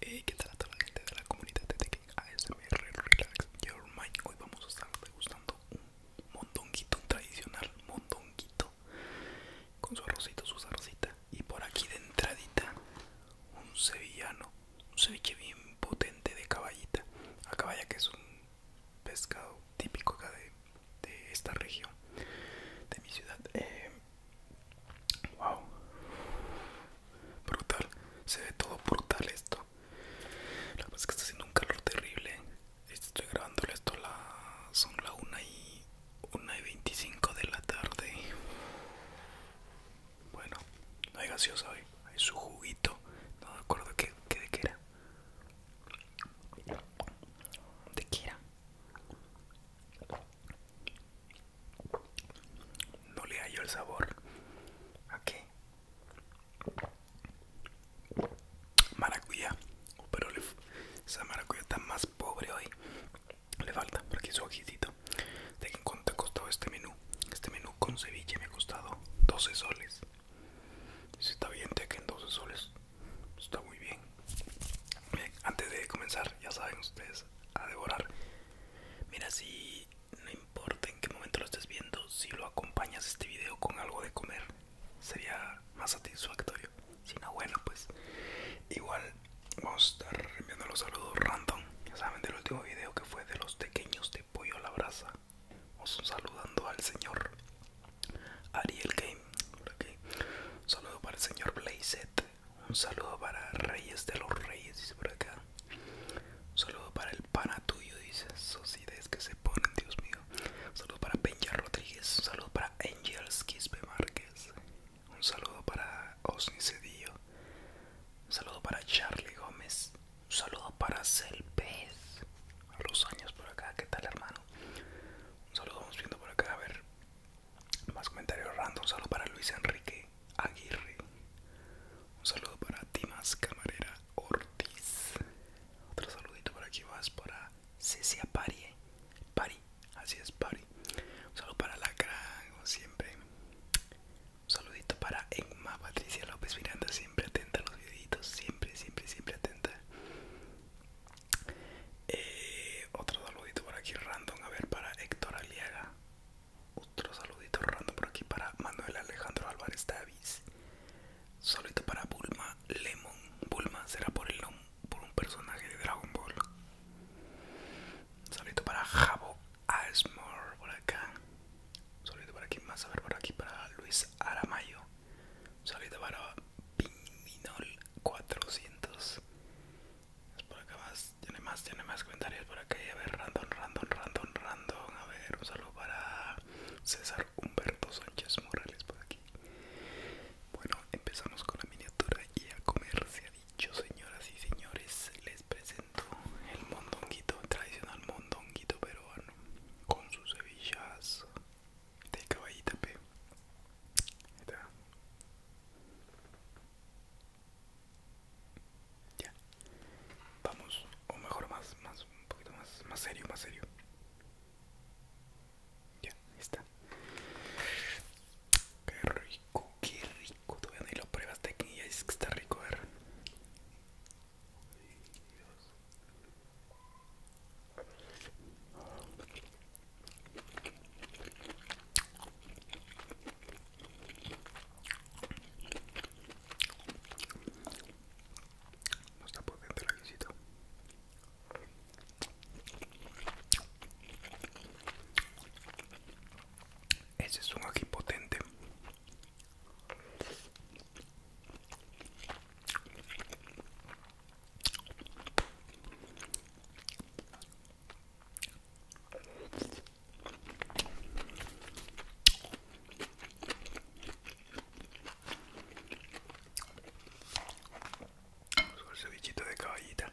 Hey, ¿qué tal a toda la gente de la comunidad de Tekken ASMR Relax Your Mind? Hoy vamos a estar degustando un mondonguito, un tradicional mondonguito con su arrocito, sus salsita y por aquí de entradita un sevillano un ceviche bien potente de caballita a caballa que es un pescado típico acá de, esta región de mi ciudad eh, wow brutal se ve todo brutal esto la cosa es que está haciendo un calor terrible estoy grabando esto la, son la 1 y 1 y 25 de la tarde bueno, no hay gaseosa hoy, hay su juguito. No me acuerdo qué, de qué era. ¿De qué era? No le hallo el sabor. ¿A qué? Maracuyá. Oh, pero esa maracuyá está más pobre hoy le falta por aquí su ojicito de que en cuánto ha costado este menú este menú con ceviche me ha costado 12 soles si está bien de que en 12 soles está muy bien bien antes de comenzar ya saben ustedes a devorar mira si no importa en qué momento lo estés viendo si lo acompañas este video con algo de comer sería más satisfactorio si no bueno pues igual vamos a estar enviando los saludos random. Ya saben del último video que fue de los pequeños de pollo a la brasa. vamos saludando al señor Ariel Game. Un saludo para el señor Blazet. Un saludo para Reyes de los Reyes, por acá. Un saludo para el pana tuyo, dice. Esos ideas que se ponen, Dios mío. saludo para Benja Rodríguez. saludo para Angels Quispe Márquez. Un saludo para Osni Cedillo. Un saludo para Charlie Gómez. Un saludo para Celpez. A los años por acá. ¿Qué tal, hermano? Un saludo, vamos viendo por acá. A ver. Más comentarios random. Un saludo para Luis Enrique Aguirre. Un saludo para Timas Camarera Ortiz. Otro saludito por aquí más para Cecia Pari. Pari, así es Pari. Un saludo para Lacra, como siempre saludito para Emma Patricia López Miranda, siempre atenta los videitos, siempre, siempre, siempre atenta. Eh, otro saludito por aquí random, a ver, para Héctor Aliaga. Otro saludito random por aquí para Manuel Alejandro Álvarez Davis. Saludito para Bulma Lemon. Bulma será por el por un personaje de Dragon Ball. Saludito para Jabo Asmore por acá. Saludo para quien más a ver por aquí para Luis Aramayo. Saludo para Pininol 400. por acá más, tiene más, tiene más comentarios por acá. A ver, random, random, random, random. A ver, un saludo para César Humberto Sánchez Morales por aquí. Bueno, empezamos con la miniatura y a comercial yo señoras y señores les presento el mondonguito tradicional mondonguito peruano con sus cebillas de caballita p ya vamos o mejor más más un poquito más más serio más serio ya está qué rico qué rico cuando todavía ni lo de aquí y es que está rico, ver. No está potente la visita. Ese es un ají potente. Sobre el de caballita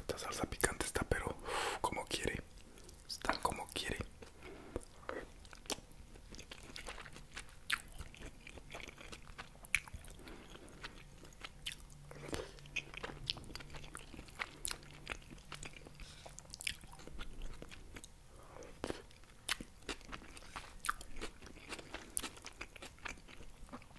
Esta salsa picante está pero como quiere. Está como quiere.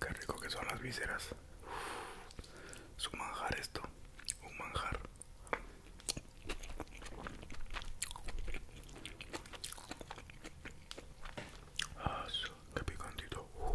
Qué rico que son las vísceras. Es manjar esto, un manjar. Ah, qué picantito. Uh.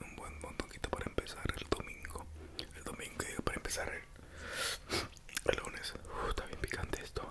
un buen montonquito para empezar el domingo. El domingo para empezar el, lunes. Uh, está bien picante esto.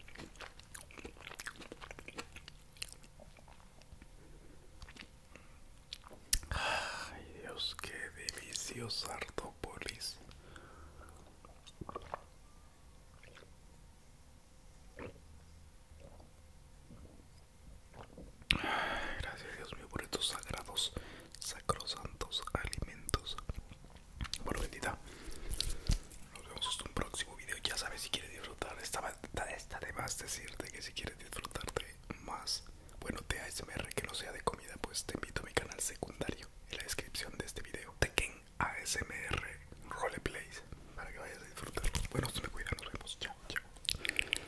Ay Dios, qué deliciosa Artópolis. Gracias Dios mío por estos sagrados, sacrosantos alimentos. Bueno, bendita. Nos vemos hasta un próximo video. Ya sabes si quieres disfrutar. Esta, esta de más decirte que si quieres disfrutarte más, bueno, de ASMR que no sea de comida, pues te invito a mi canal secundario en la descripción de este video. Tekken ASMR Roleplay para que vayas a disfrutarlo. Bueno, se me cuida. Nos vemos. Chao, chao.